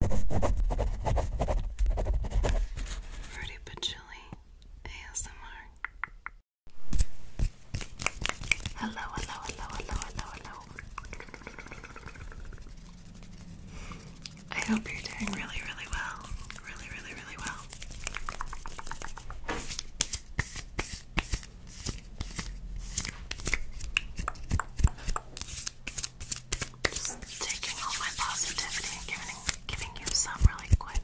Fruity but ASMR. Hello, hello, hello, hello, hello, hello. I hope you're doing really, really well. Really, really, really well. Just taking all my positivity and giving giving you some really quick.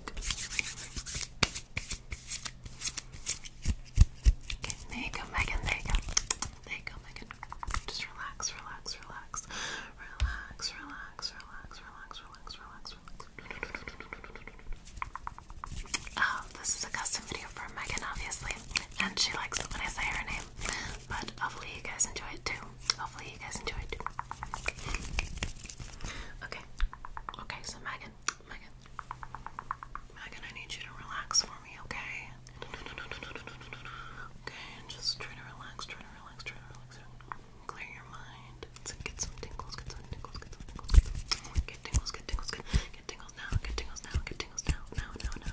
there you go, Megan. There you go. There you go, Megan. Just relax, relax, relax, relax, relax, relax, relax, relax, relax, relax. Um, this is a custom video for Megan, obviously, and she likes it when I say her name. But hopefully you guys enjoy it too. Hopefully you guys enjoy it Okay. Okay, so Megan, Megan. Megan, I need you to relax for me, okay? Okay, just try to relax, try to relax, try to relax. Clear your mind. Get some tingles, get some tingles, get some tingles, get tingles. Get tingles, get tingles now, get tingles now, get tingles now, now, now, now.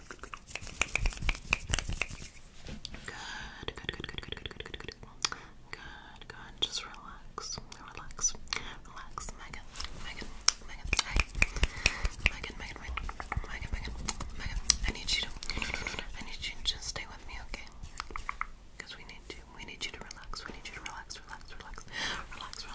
Good, good, good, good, good, good, good, good, good. Good, good. Just relax. Relax. Relax. Megan. Megan. Megan, Megan, Megan. Megan, Megan. Megan. I need you to I need you to just stay with me, okay? Because we need to we need you to relax. We need you to relax, relax, relax. Relax, relax,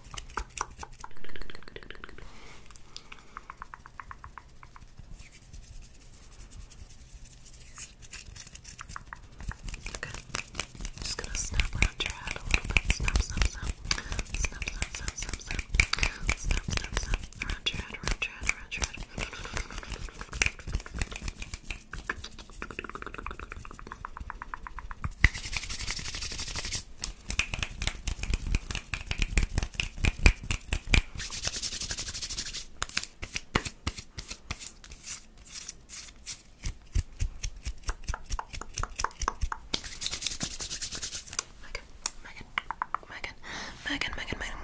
Okay. Just gonna snap around your head a little bit. Snap, snap, snap. Snap, snap, snap, snap, snap. Snap, snap, snap. Around your head, around your head, around your head. Megan, Megan, Megan,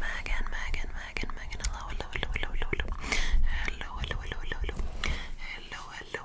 Megan, Megan, Megan, Megan, Megan, Megan, hello, hello, hello, hello, hello, hello, hello, hello, hello, hello, hello, hello, hello,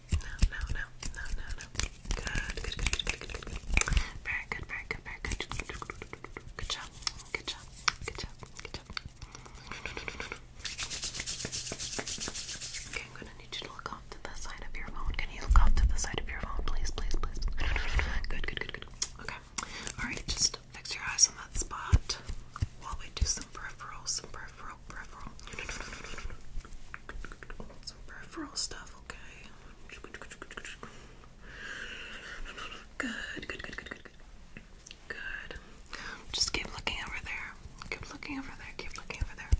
No, no, no, no, no, no. Good, good, good, good, good, good, Very good, very good, very good. Good job, good job, good job, good job. Okay, I'm gonna need you to look off to the side of your phone. Can you look off to the side of your phone, please, please, please? Good, good, good, good. Okay. Alright, just fix your eyes on that spot while we do some peripherals, some peripheral, peripheral. Some peripheral stuff, okay? Good, good, good, good, good, good. Good. Just keep looking over there. Keep looking over there. Keep looking over there.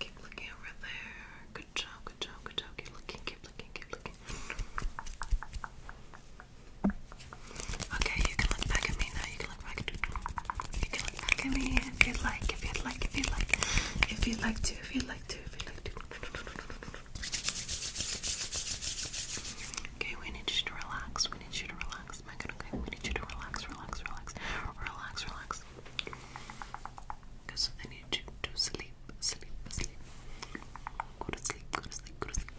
Keep looking over there. Good job, good job, good job. Keep looking, keep looking, keep looking. Okay, you can look back at me now. You can look back at me. You can look back at me if you'd like, if you'd like, if you'd like, if you'd like to, if you'd like to, if you'd like to. Okay, we need you to relax. We need you to relax, Megan. Okay, we need you to relax, relax, relax, relax, relax. Because I need you to sleep, sleep, sleep. Go to sleep, go to sleep, go to sleep.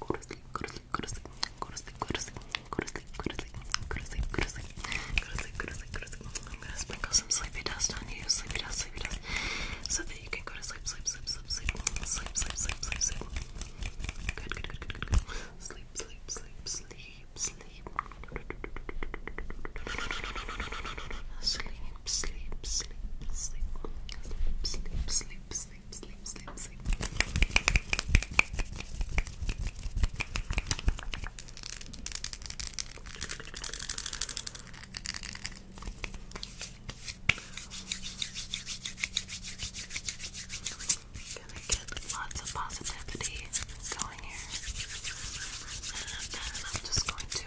Go to sleep, go to sleep, go to sleep, go to sleep, go to sleep, go to sleep, go to sleep, go to sleep, go to sleep, go to sleep, go to sleep, go to sleep. I'm gonna sprinkle some sleepy dust on you, sleepy dust, sleepy dust, so that you can go to sleep, sleep, sleep, sleep, sleep, sleep, sleep, sleep, sleep, sleep. Good, good, good, good, good, good. Sleep, sleep, sleep, sleep, sleep. Sleep, sleep, sleep, sleep, sleep, sleep, sleep, sleep sleep, sleep, sleep, lots of positivity going here. And then I'm just going to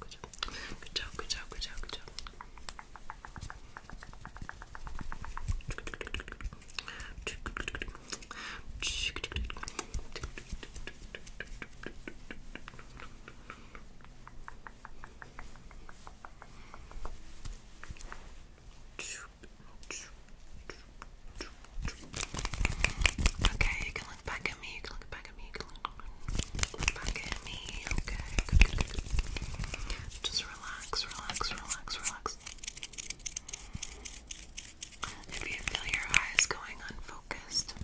good job. Good job, good job, good job, Okay, Look at me, okay? Just relax, relax, relax, relax. If you feel your eyes going unfocused,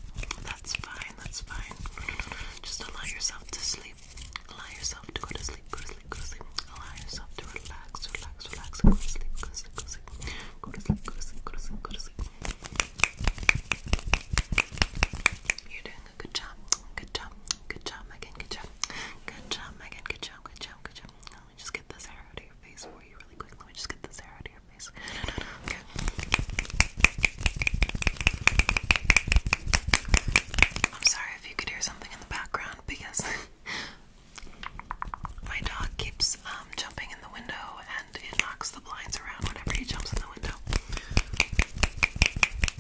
that's fine, that's fine. Just allow yourself to sleep. Allow yourself to go to sleep, go to sleep, go to sleep. Allow yourself to relax, relax, relax, go to sleep, go to sleep. Go to sleep, go to sleep, go to sleep, go to sleep. You did Good job. Good job. Good job, Megan. Good job. Good job, Megan. Good job. Good job. Good job. Let me just get this hair out of your face for you really quick. Let me just get this hair out of your face. Okay. I'm sorry if you could hear something in the background because my dog keeps um, jumping in the window and it knocks the blinds around whenever he jumps in the window.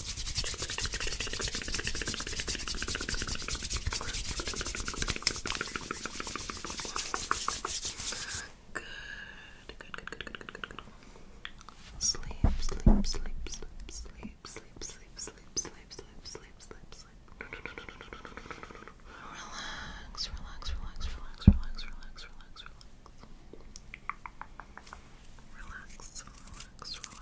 Good, good, good, good, good, good, good. Sleep, sleep, sleep, sleep, sleep, sleep, sleep, sleep, sleep, sleep, sleep, sleep, sleep. Relax, relax, relax, relax, relax, relax, relax, relax. Relax, relax, relax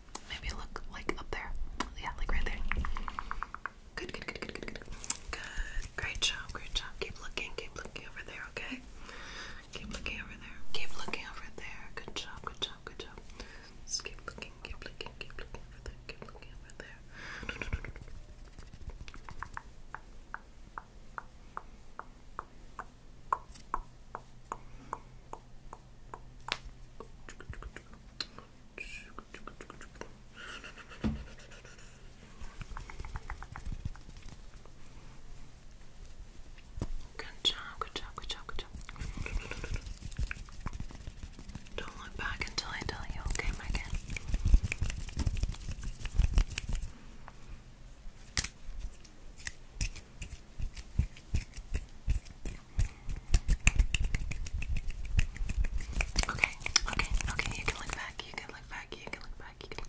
Maybe look like up there. Yeah, like right there. Good, good, good, good, good, good. Good. Great job, great job. Keep looking, keep looking over there, okay? Keep looking over there. Keep looking over there. Good job, good job, good job. Just keep looking, keep looking, keep looking over there, keep looking over there. Good job, good job, good job, good job. Don't look back until I tell you, okay, Megan? Okay, okay, okay, you can look back, you can look back, you can look back, you can look back.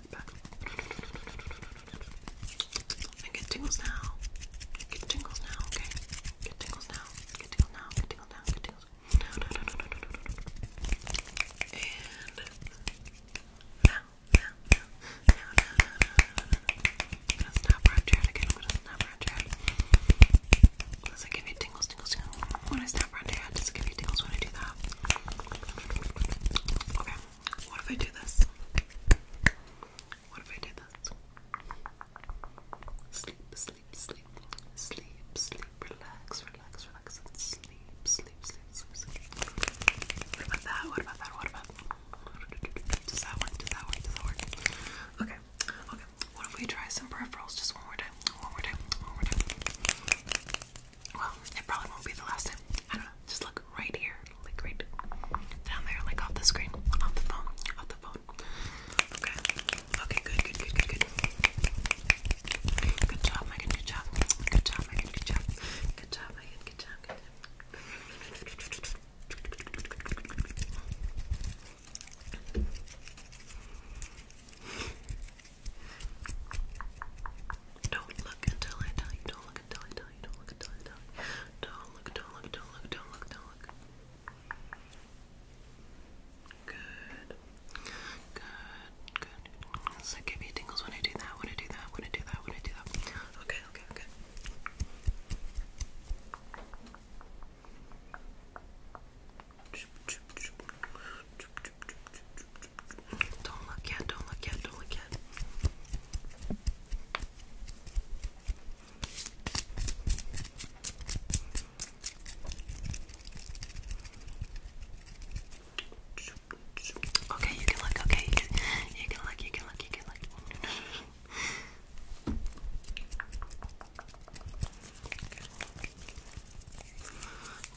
right back. And get tingles now. Get tingles now, okay? Get tingles now. Get tingles now. Get tingles now. Get tingles. No, no, no, no, no, no, no. And now, now, now, now, now, now, now, now. I'm gonna snap around your head again. I'm gonna snap around your head. Does it give you tingles, tingles, tingles? When I snap around your head, does it give you tingles when I do that? Okay, what if I do this? What if I do this? Sleep, sleep, sleep, sleep, sleep, relax, relax, relax, sleep, sleep, sleep, sleep, sleep. What about that? What about that? What about Does that work? Does that work? Does that work? Okay, okay. What if we try some peripherals just one more time? One more time, one more time. Well, it probably won't be the last time. I don't know. Just look right here. Like right down there, like off the screen. Off the phone. Off the phone. Okay. Okay, good, good, good, good, good. Good job, Good job. Good job, Good job. Good job, Good job. Good job. Don't look until I tell you. Don't look until I tell you. Don't look until I tell you. Don't look, don't look, don't look, don't look, don't look. Good. Good, good. So give me tingles when I do that, when I do that, when I do that, when I do that. Okay, okay, okay. Don't look yet, don't look yet, don't look yet. Okay, you can look, okay, you can, you can look, you can look, you can look.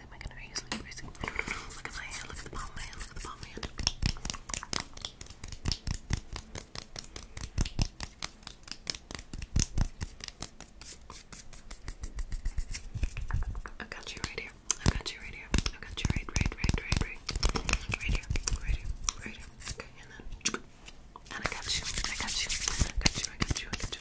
Look at my hand. Look at the palm of Look at the palm of I got you right here. I got you right here. I got you right, right, right, right, right. Right here. Right here. Right here. Okay, and then. And I got you. I got you. I got you. I got you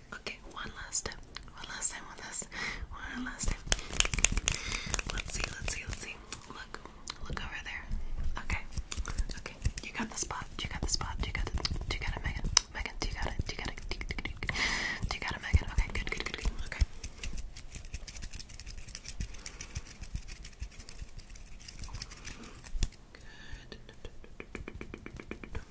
Okay, one last time. One last time, one last time. Let's see, let's see, let's see. Look. Look over there. Okay. Okay. You got the spot. You got the spot. You got it. You got it, Megan. Megan, you got it? you got it? you got it, Megan? Okay, good, good, good, good. Okay. Good.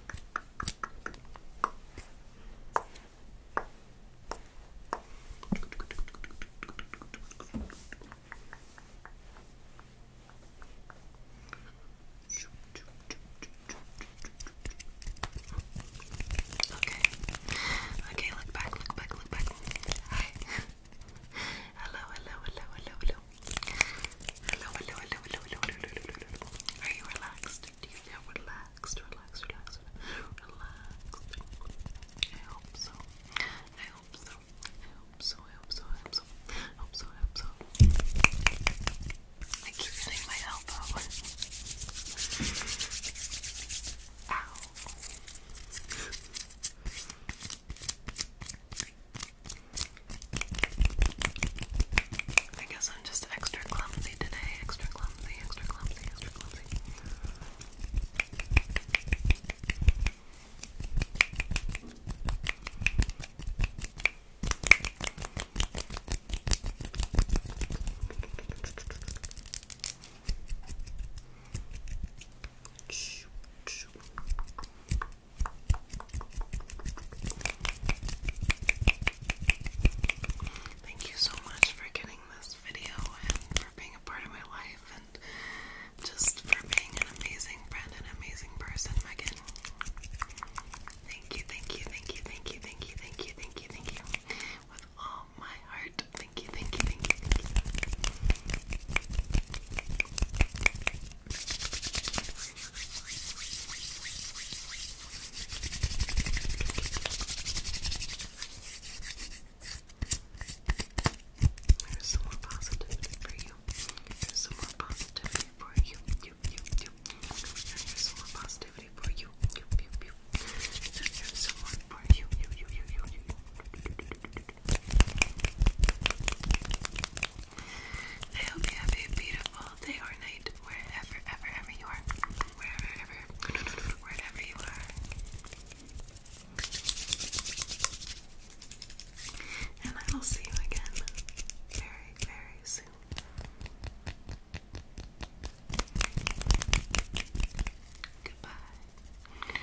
Okay. Okay, look back, look back, look back. Hi. hello, hello, hello, hello, hello. Hello, hello, hello, hello, hello, hello, hello, hello. Are you relaxed? Do you feel relaxed? Relaxed, relaxed, relaxed. I hope so. I hope so. I hope so. I hope so. I hope so. I hope so. I hope so. I keep hitting my elbow. Ow. I I guess I'm just extra clumsy today. Extra clumsy, extra clumsy, extra clumsy. Thank you so much for getting this video and for being a part of my life and just for being an amazing friend and amazing person, Megan. Thank you, thank you, thank you, thank you, thank you, thank you, thank you, thank you. With all my heart. Thank you, thank you, thank you, thank you. There's some more positivity for you. There's some more positivity for you. You, you, you. There's some more positivity for you. You, you, you. There's some more for you. You, you, you, you, you. I hope you have a beautiful day or night wherever, ever, ever you are. Wherever, ever, wherever you are. And I will see you again very, very soon. Goodbye.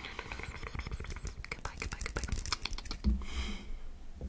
Goodbye, goodbye, goodbye.